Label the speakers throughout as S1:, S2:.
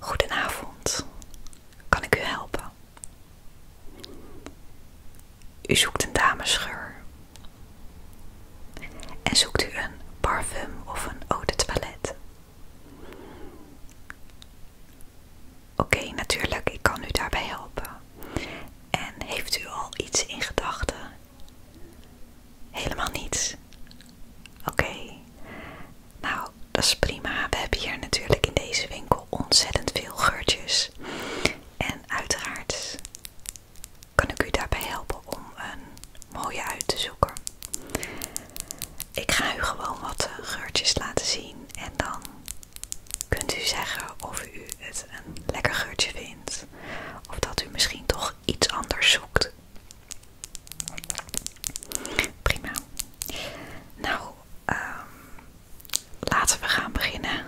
S1: Goedenavond, kan ik u helpen? U zoekt een damesgeur en zoekt u een parfum of een eau de toilette. Oké, natuurlijk, ik kan u daarbij helpen. En heeft u al iets in gedachten? Helemaal niets. Oké. Nou, dat is prima. We hebben hier natuurlijk in deze winkel ontzettend veel geurtjes. En uiteraard kan ik u daarbij helpen om een mooie uit te zoeken. Ik ga u gewoon wat eh, geurtjes laten zien en dan kunt u zeggen of u het een lekker geurtje vindt of dat u misschien toch iets anders zoekt. Prima. Nou, ehm, laten we gaan beginnen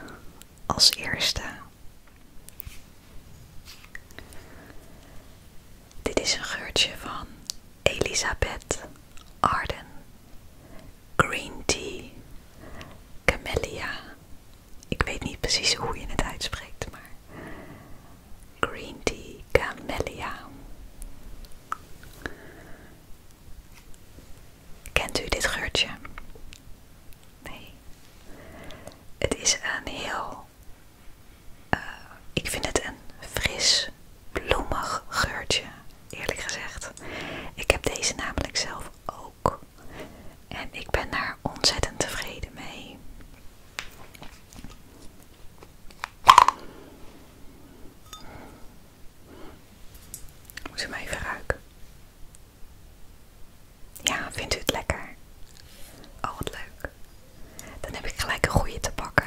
S1: als eerste. Dit is een geurtje van Elisabeth Arden, Green Tea, Camellia. Ik weet niet precies hoe je het uitspreekt, maar Green Tea, Camellia. Kent u dit geurtje? Nee. Het is een heel eh, ik vind het een fris, bloemig geurtje, eerlijk gezegd. Ik heb deze namelijk zelf ook. En ik ben daar ontzettend tevreden mee. Moet ze hem even ruiken. Ja, vindt u het lekker? Oh, wat leuk. Dan heb ik gelijk een goede te pakken.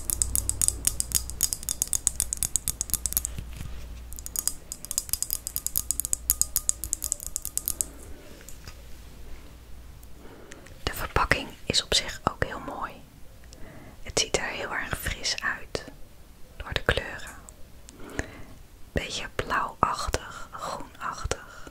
S1: De verpakking is op zich ook heel mooi. Het ziet er heel erg fris uit door de kleuren. Beetje blauwachtig, groenachtig.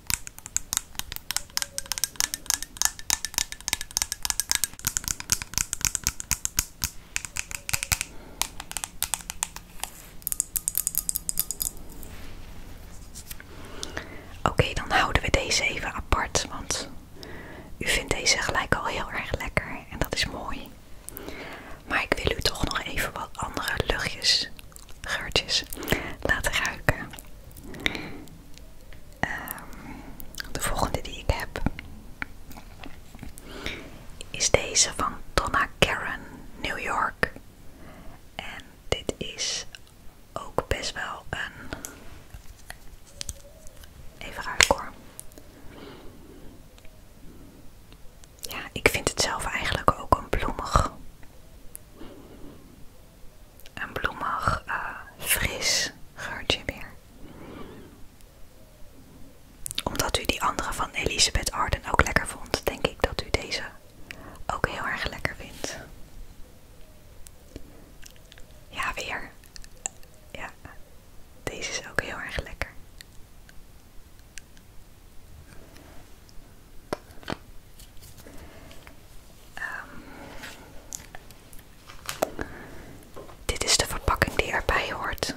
S1: Oké, dan houden we deze even apart, want u vindt deze gelijk al heel erg lekker en dat is mooi. Maar ik wil u toch nog even wat andere luchtjes geurtjes laten ruiken. Ehm, de volgende die ik heb is deze van Donna Karen, New York. En dit is ook best wel een. Even ruiken hoor. Ja, ik vind het zelf eigenlijk ook een bloemig een bloemig, eh, fris geurtje weer. Omdat u die andere van Elisabeth Arden ook lekker vond, denk ik dat u deze ook heel erg lekker vindt. Ja, weer. Ja, deze is ook heel erg lekker. Um, dit is de verpakking die erbij hoort.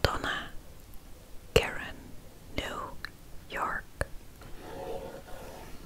S1: Donna Karen New York.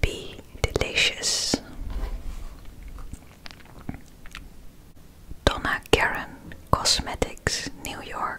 S1: Be delicious. Donna Karen Cosmetics, New York.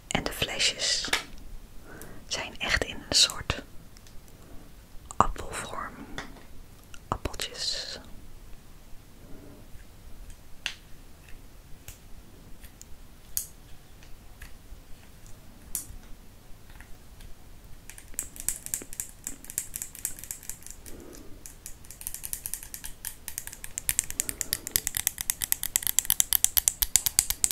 S1: En de flesjes zijn echt in een soort appelvorm. Appeltjes.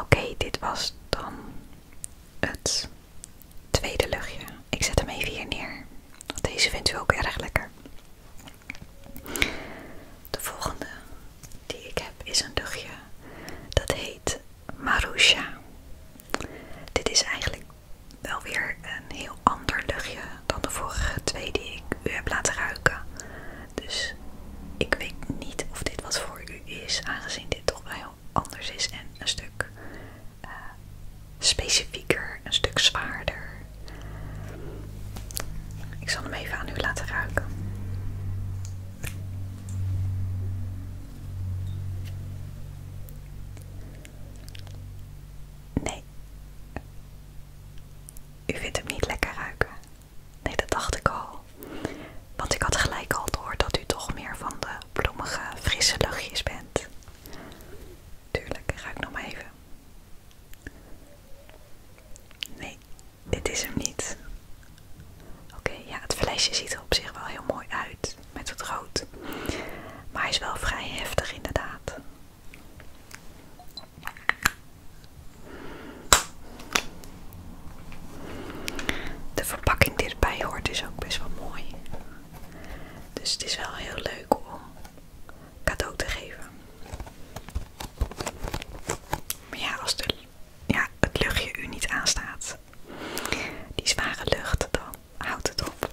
S1: Oké, dit was dan het tweede luchtje ik zet hem even hier neer. Want deze vindt u ook erg lekker. De volgende die ik heb is een luchtje. Dat heet Marusha. Dit is eigenlijk wel weer een heel ander luchtje dan de vorige twee die ik u heb laten ruiken. Dus ik weet niet of dit wat voor u is, aangezien dit toch wel heel anders is en een stuk eh, specifieker, een stuk zwaarder. Ik zal hem even aan u laten ruiken. Nee. U vindt hem niet lekker ruiken. Nee, dat dacht ik al. Want ik had gelijk al door dat u toch meer van de bloemige, frisse dagjes bent. Tuurlijk, ga ik nog maar even. Nee, dit is hem niet. Oké, ja, het flesje ziet er op zich wel heel mooi uit met het rood. Maar hij is wel vrij heftig inderdaad. De verpakking die erbij hoort is ook best wel mooi. Dus het is wel heel leuk om cadeau te geven. Maar ja, als de, ja, het luchtje u niet aanstaat, die zware lucht, dan houdt het op.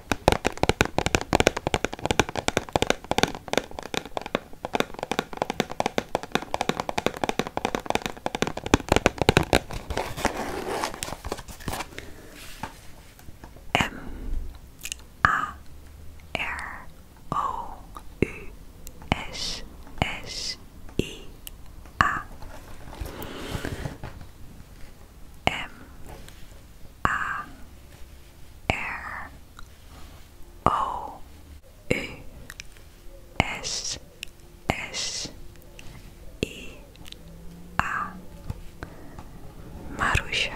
S1: M A R O U S S I A M A R O U S S I A Marusha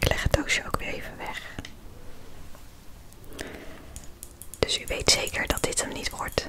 S1: Ik leg het doosje ook weer even weg. Dus u weet zeker dat dit hem niet wordt.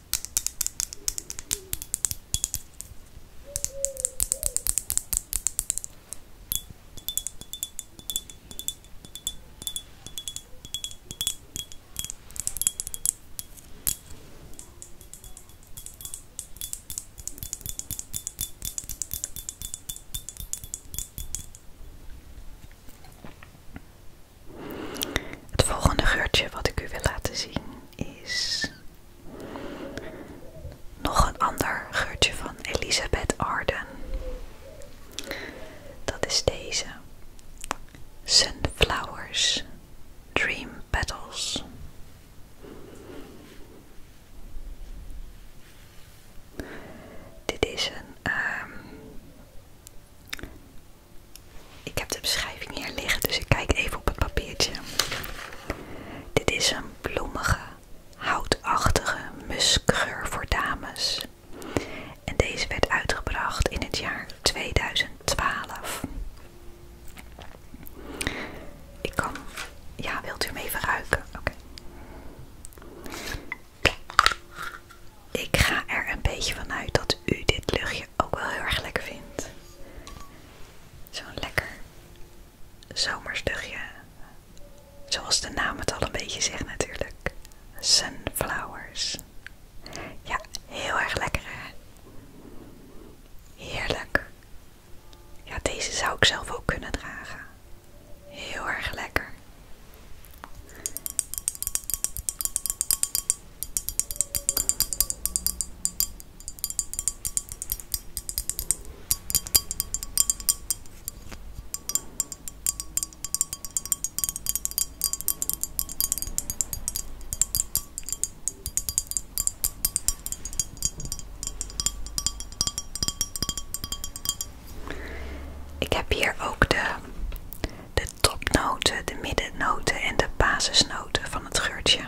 S1: Het volgende geurtje wat ik u wil laten zien is nog een ander geurtje van Elizabeth Arden. Dat is deze. Sunflowers Dream Petals. Dit is een ehm, ik heb de beschrijving hier liggen, dus ik kijk even op het papiertje. Dit is een bloemige, houtachtige muskgeur voor dames. En deze werd uitgebracht in het jaar 2012. Ik kan. Ja, wilt u mee ruiken? Oké. Ik ga er een beetje vanuit dat u dit luchtje ook wel heel erg lekker vind, Zo'n lekker zomersdugje. Zoals de naam het al een beetje zegt natuurlijk. Sunflowers. Ja, heel erg lekker hè. Heerlijk. Ja, deze zou ik zelf ook kunnen dragen. Heel erg lekker. Ik heb hier ook de de topnoten, de middennoten en de basisnoten van het geurtje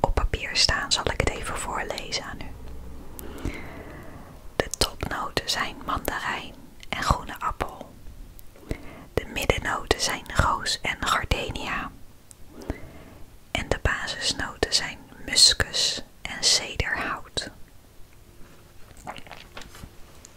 S1: op papier staan, zal ik het even voorlezen aan u. De topnoten zijn mandarijn en groene appel. De middennoten zijn roos en gardenia. En de basisnoten zijn muskus en cederhout.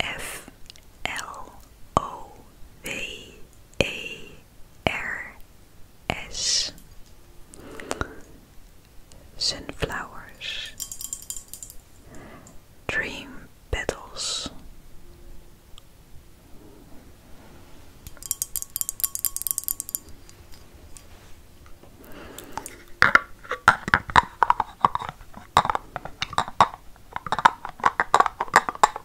S1: F L O V A R S Sunflowers Dream Petals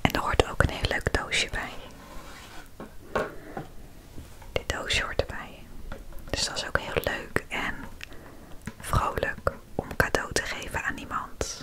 S1: En er hoort ook een heel leuk doosje bij. Dit doosje hoort erbij. Dus dat is ook heel leuk en vrolijk om cadeau te geven aan iemand.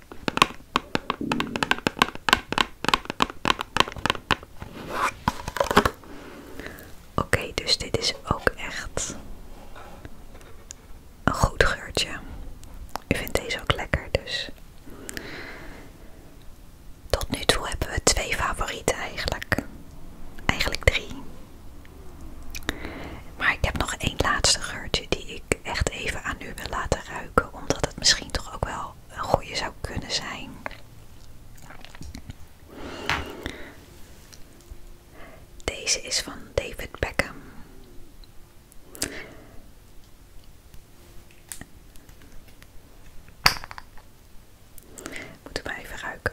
S1: Oké, dus dit is ook echt een goed geurtje. U vindt deze ook lekker, dus. Tot nu toe hebben we twee favorieten eigenlijk. Eigenlijk drie. Maar ik heb nog één laatste geurtje die ik echt even aan u wil laten ruiken, omdat het misschien toch ook wel een goede zou kunnen zijn. Deze is van David Beckham. Moeten maar even ruiken.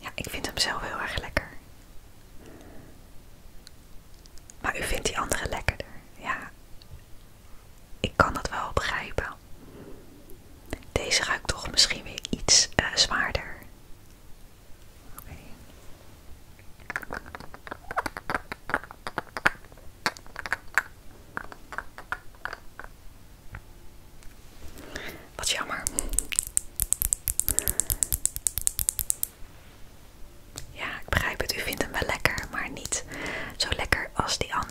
S1: Ja, ik vind hem zelf heel erg lekker. Maar u vindt die andere lekkerder. Ja, ik kan dat wel begrijpen. Deze ruikt toch misschien weer iets eh, zwaarder. Oké. Wat jammer. Ja, ik begrijp het. U vindt hem wel lekker, maar niet zo lekker als die andere.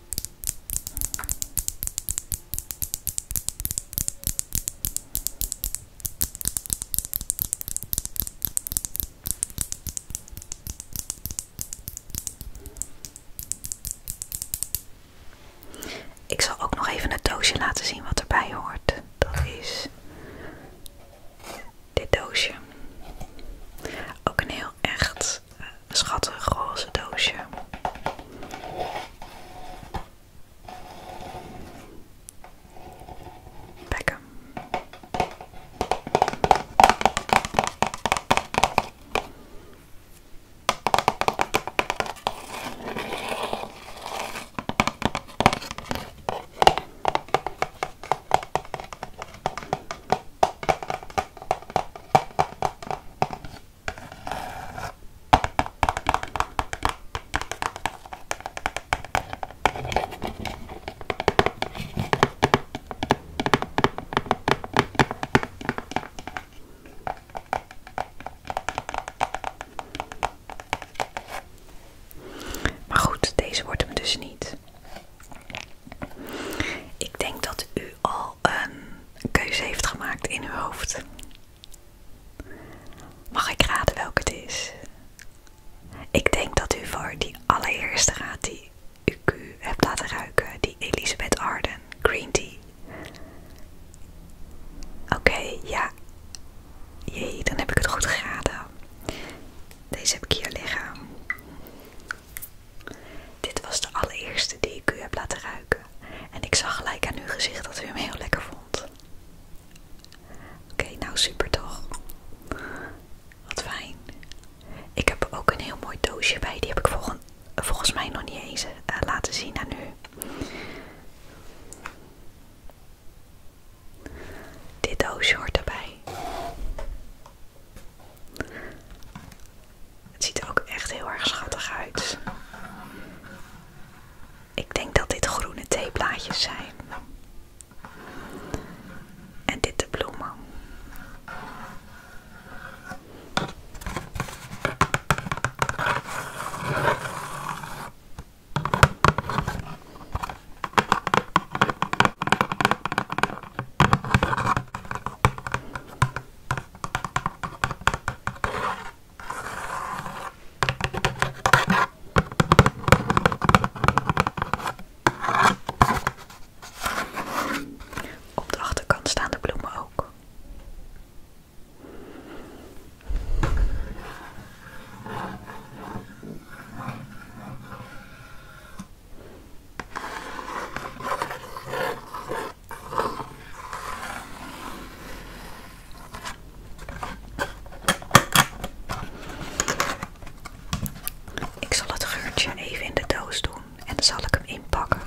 S1: Ik zal ook nog even het doosje laten zien wat erbij hoort. Dat is dit doosje. Ook een heel echt schattig roze doosje. Bekken. Maar goed, deze wordt hem dus niet. Ik denk dat u al een keuze heeft gemaakt in uw hoofd. Mag ik raden welke het is? Ik denk dat u voor die allereerste raad die u heeft laten ruiken, die Elisabeth Arden Green Tea. Oké, ja. Jee, dan heb ik het goed geraden. Deze heb ik hier liggen. Dit was de allereerste die ik u heb laten ruiken. En ik zag gelijk aan uw gezicht dat u hem heel lekker vond. Oké, nou super toch? Wat fijn. Ik heb ook een heel mooi doosje bij. Die heb ik volgens, mij nog niet eens eh, laten zien aan u. Dit doosje hoort erbij. Het ziet er ook echt heel erg schattig uit. Ik denk dat dit groene theeblaadjes zijn. En dit de bloemen. Op de achterkant staan de bloemen ook. Ik zal het geurtje even in de doos doen en dan zal ik hem inpakken.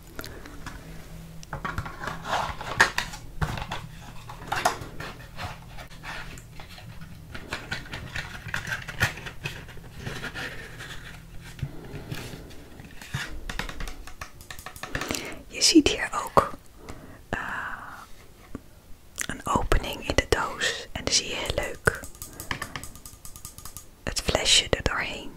S1: Je ziet hier ook eh, een opening in de doos en dan zie je heel leuk het flesje er doorheen.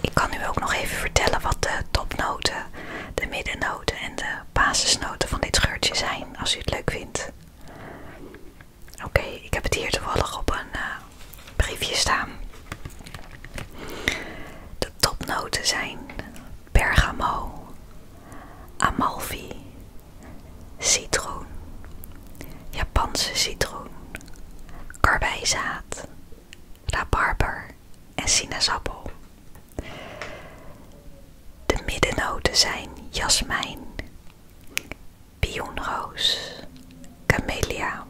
S1: Ik kan u ook nog even vertellen wat de topnoten, de middennoten en de basisnoten van dit geurtje zijn, als u het leuk vindt. Oké, ik heb het hier toevallig op een eh, briefje staan. De topnoten zijn bergamo, amalfi, citroen, Japanse citroen, karwijzaad, rabarber en sinaasappel. De middennoten zijn jasmijn, pionroos, camellia,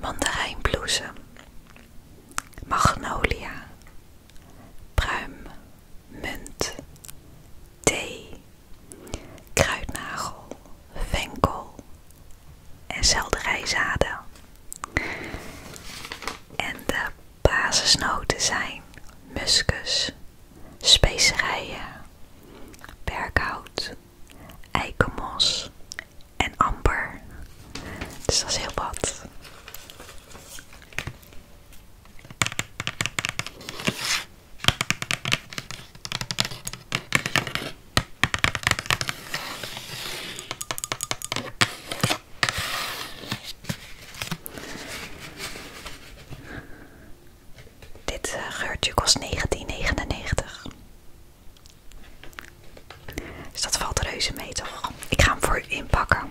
S1: mandarijnbloesem, magnolia pruim, munt, thee, kruidnagel, venkel en selderijzaden. En de basisnoten zijn muskus, specerijen, berkhout, eikenmos en amper. Dus dat is heel wat. Dit geurtje kost 19,99. Is dat valt reuze mee toch? Ik ga hem voor inpakken.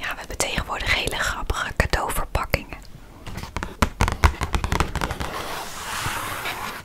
S1: Ja, we hebben tegenwoordig hele grappige cadeauverpakkingen.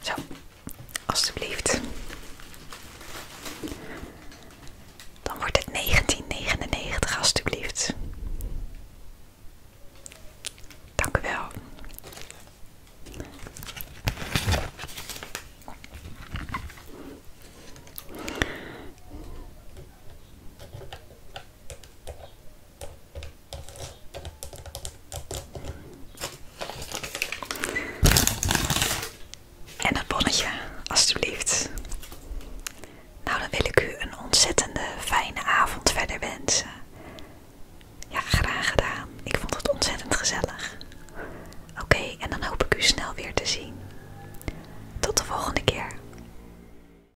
S1: Zo, alstublieft. Dan wordt het 1999, alstublieft. Dank u wel. En het bonnetje, alstublieft. Nou, dan wil ik u een ontzettende fijne avond verder wensen. Ja, graag gedaan. Ik vond het ontzettend gezellig. Oké, en dan hoop ik u snel weer te zien. Tot de volgende keer.